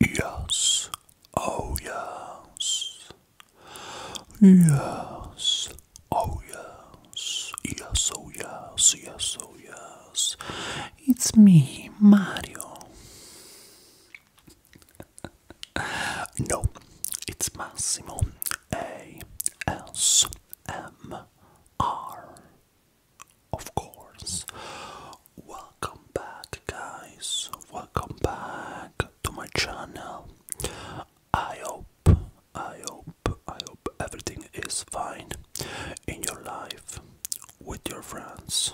Yes, oh yes. Yes, oh yes. Yes, oh yes, yes, oh yes. It's me, Mario. no, it's Massimo. A S M R. Of course. Welcome back, guys. Welcome back to my channel. I hope, I hope, I hope everything is fine in your life, with your friends,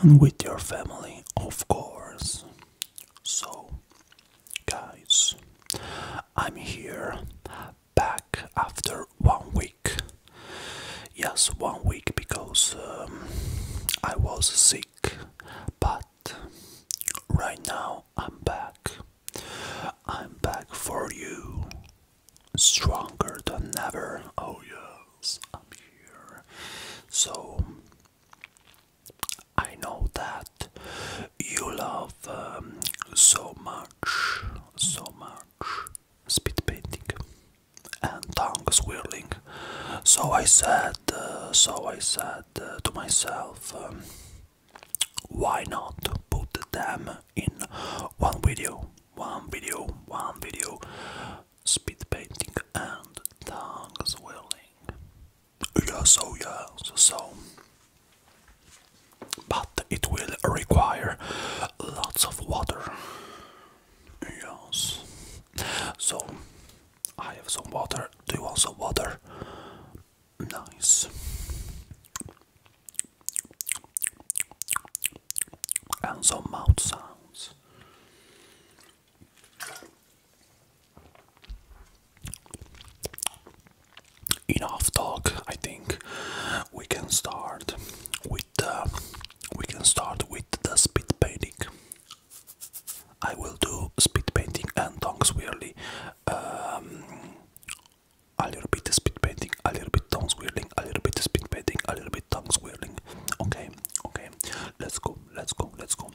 and with your family, of course. So, guys, I'm here back after one week. Yes, one week because um, I was sick, but right now I'm back. I'm back for you, stronger than ever. Oh, yes, I'm here. So I know that you love um, so much, so much speed painting and tongue swirling. So I said, uh, so I said uh, to myself, um, why not put them in one video, one video, one video, speed painting and tongue swirling. Yeah, oh, so yeah, so but it will require lots of water. Yes. So I have some water. Do you want some water? Nice. And some mouth sounds enough talk. I think we can start with the uh, we can start with the speed painting. I will do speed painting and tongue swirling. Um, a little bit of spit painting, a little bit tongue swirling, a little bit of spit painting, a little bit tongue swirling. Okay, okay, let's go, let's go, let's go.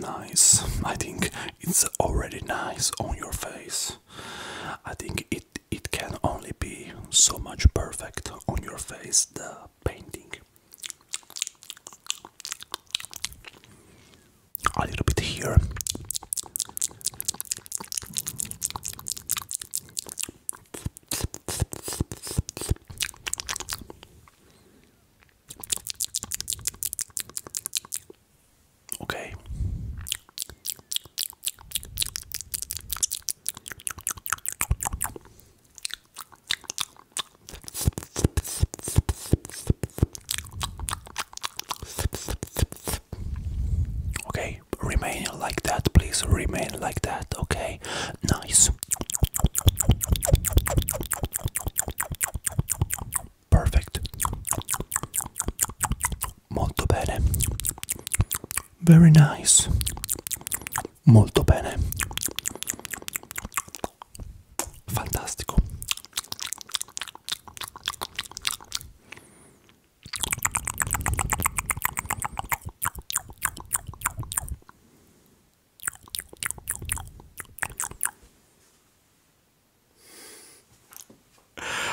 Nice, I think it's already nice on your face. I think it can only be so much perfect on your face the painting a little bit here Okay. Okay, remain like that, please. Remain like that, okay? Nice. Perfect. Molto bene. Very nice. Molto bene. Fantastico.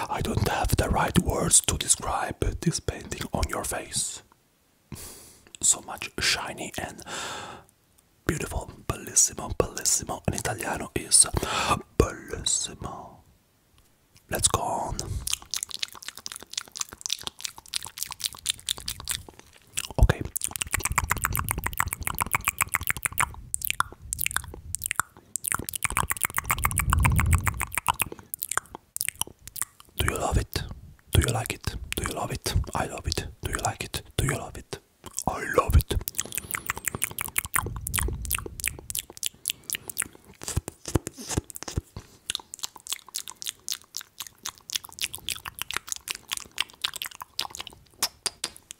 I don't have the right words to describe this painting on your face. So much shiny and beautiful. Bellissimo, bellissimo. In Italiano is bellissimo. Let's go on. Okay. Do you love it? Do you like it? Do you love it? I love it. Do you like it? Do you love it? I love it.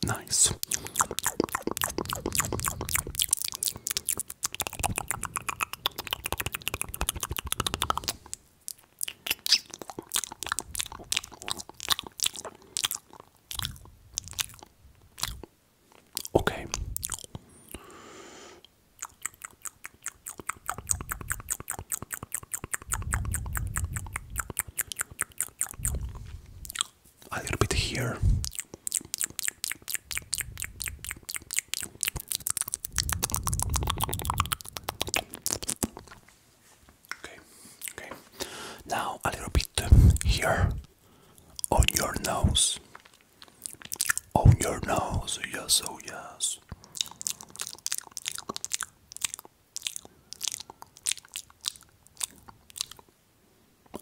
Nice. Okay. A little bit here. Okay, okay. Now a little bit here on your nose. On your nose, yes, oh yes.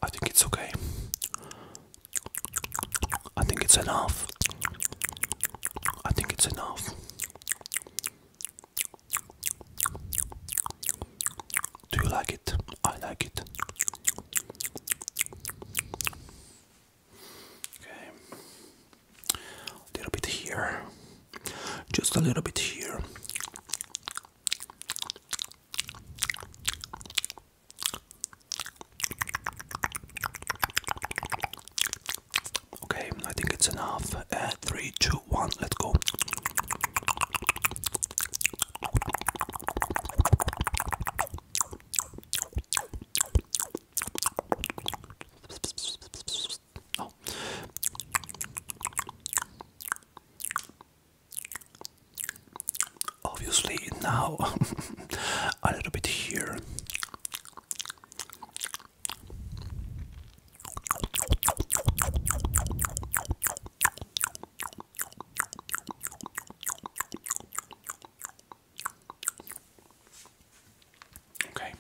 I think it's okay. I think it's enough. I think it's enough. Do you like it? I like it. Okay. A little bit here. Just a little bit here. Okay, I think it's enough. Uh, three, two, one, let's go. Oh. Obviously, now a little bit here. Okay.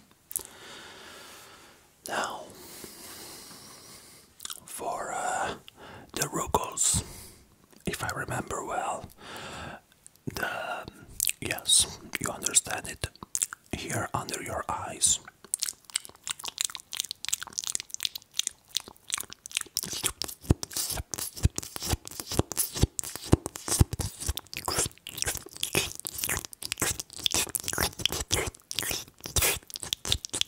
Now for uh, the ruggles, if I remember well. The yes, you understand it here under your eyes.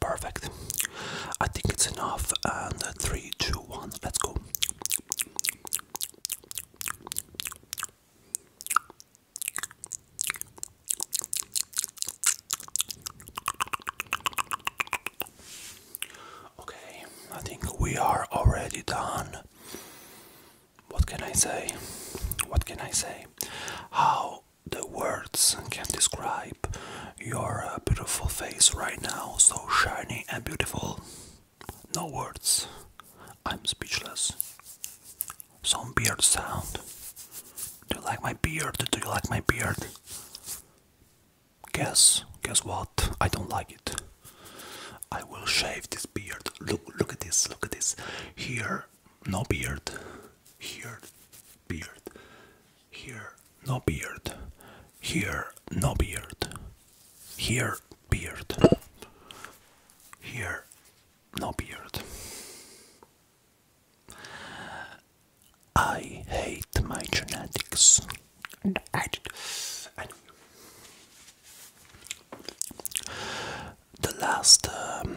Perfect. I think it's enough. And three, two, one. Let's go. Okay, I think we are already done. What can I say? What can I say? How the words can describe your uh, beautiful face right now, so shiny and beautiful. No words. I'm speechless. Some beard sound. Do you like my beard? Do you like my beard? Guess, guess what? I don't like it. I will shave this beard. Look, look at this, look at this. Here, no beard. Here, beard. Here, no beard. Here, no beard. Here, beard. Here, no beard. I hate my genetics. And I did. the last, um,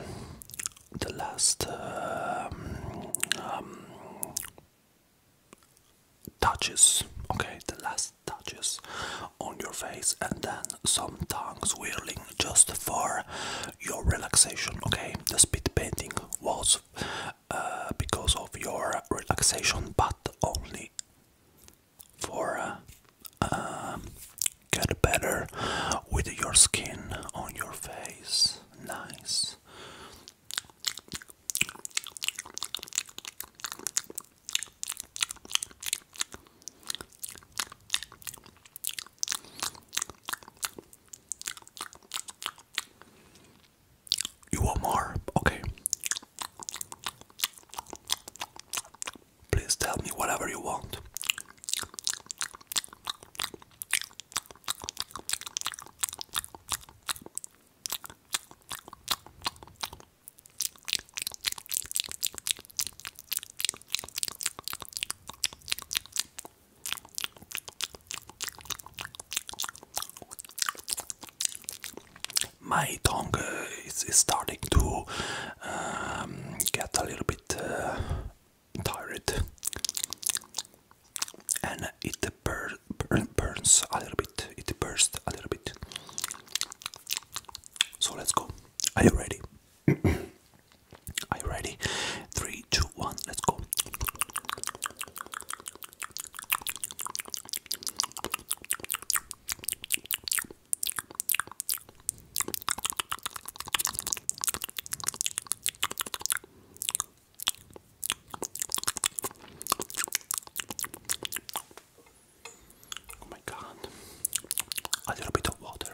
the last um, um, touches, okay, the last touches on your face, and then some tongues swirling just for your relaxation. Okay, the speed painting was uh, because of your relaxation, but only for uh, uh, get better with your skin on your face. Nice. You want more? Okay. Please tell me whatever you want. My tongue is, starting to um, get a little bit uh, tired, and it burns a little bit. It bursts a little bit. So let's go. Are you ready? Are you ready? Three, two, one, let's go. Oh my god. A little bit of water.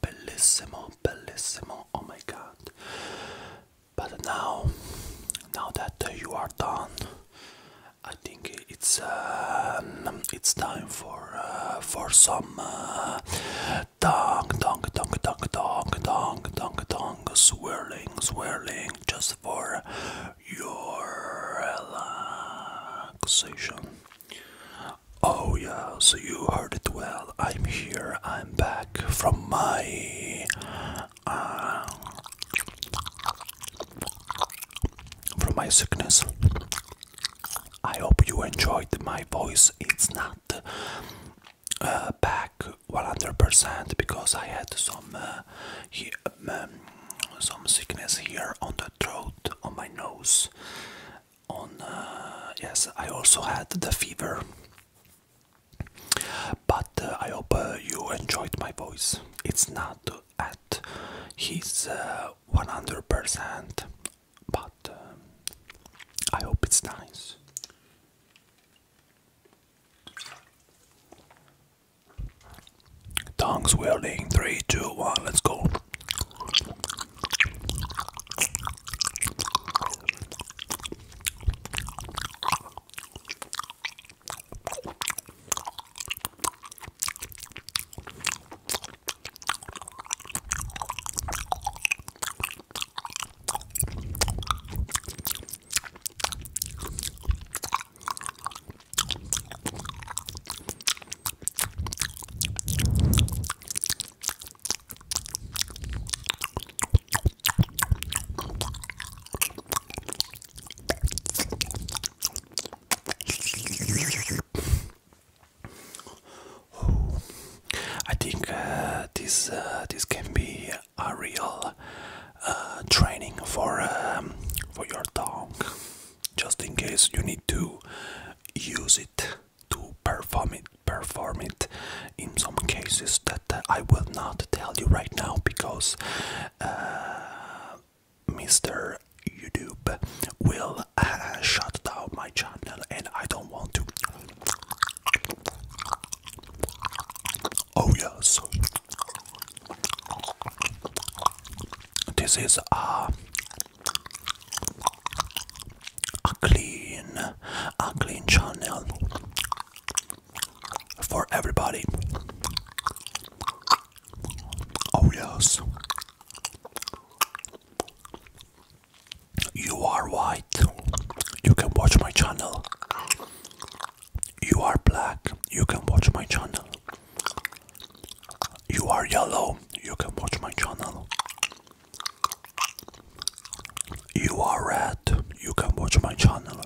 Bellissimo, bellissimo, oh my god. But now, now that uh, you are done, I think it's um, it's time for uh, for some uh, dong dong dong dong dong dong dong dong swirling, swirling just for your relaxation. Oh, yeah, so you heard it well. I'm here, I'm back from my. Uh, from my sickness. I hope you enjoyed my voice. It's not uh, back 100% because I had some uh, um, um, some sickness here on the throat, on my nose. On uh, yes, I also had the fever. But uh, I hope you enjoyed my voice. It's not at his 100%, but um, I hope it's nice. Tongues wielding. Three, two, one. Let's go. I think uh, this uh, this can be a real uh, training for um, for your tongue, just in case you need to use it to perform it. Perform it in some cases that uh, I will not tell you right now because uh, Mr. YouTube will shut down my channel and I don't want to Oh, yes. This is a, uh, a clean, a clean channel for everybody. Oh, yes. You are white. You can watch my channel. You are black. You can watch my channel. You are yellow. You can watch my channel. You are red. You can watch my channel.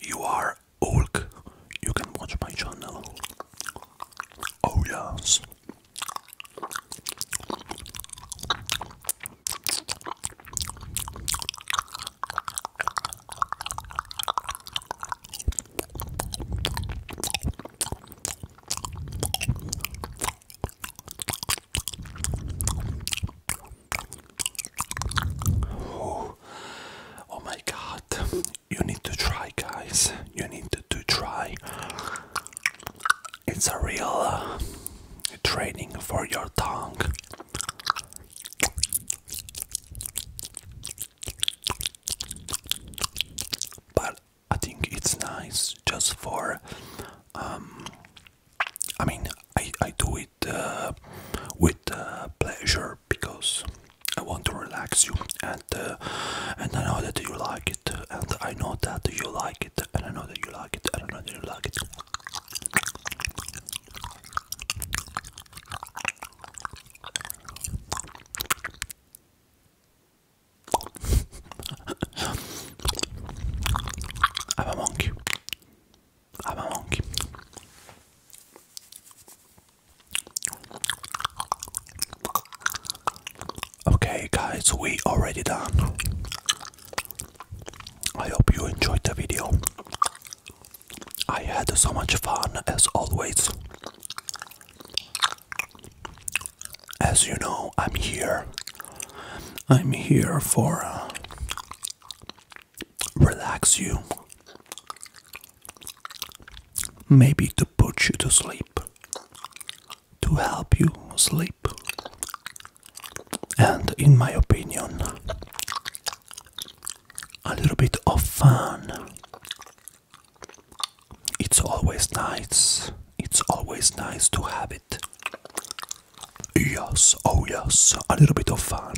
You are Hulk. You can watch my channel. Oh, yes. Oh, my god. You need to try guys. You need to to, try. It's a real uh, training for your tongue. But I think it's nice just for. Um, I mean, I, I do it uh, with uh, pleasure because I want to relax you. Uh, and I know that you like it, and I know that you like it, and I know that you like it, I know that you like it. I'm a monkey. I'm a monkey. Okay, guys, we already done. I hope you enjoyed the video. I had so much fun as always. As you know, I'm here. I'm here for uh, relax you. Maybe to put you to sleep to help you sleep. And in my opinion, a little bit of fun. It's always nice. It's always nice to have it. Yes, oh yes, a little bit of fun.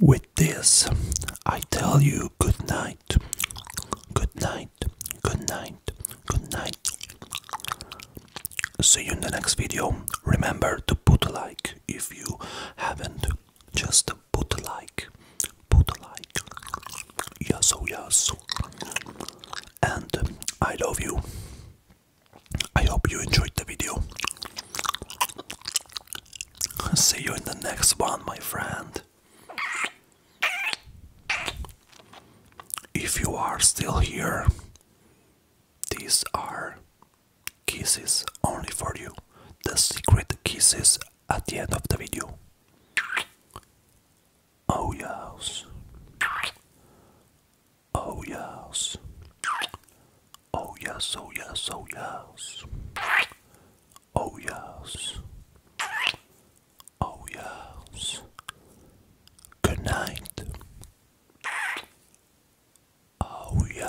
With this, I tell you good night, good night, good night, good night. See you in the next video. Remember to put a like if you haven't. Just put a like, put a like. Yes, oh yes. And I love you. I hope you enjoyed the video. See you in the next one, my friend. If you are still here, these are kisses only for you. The secret kisses at the end of the video. Oh yes. Oh yes. Oh yes, oh yes, oh yes. Oh yes. Oh yes. Good night. Oh yes.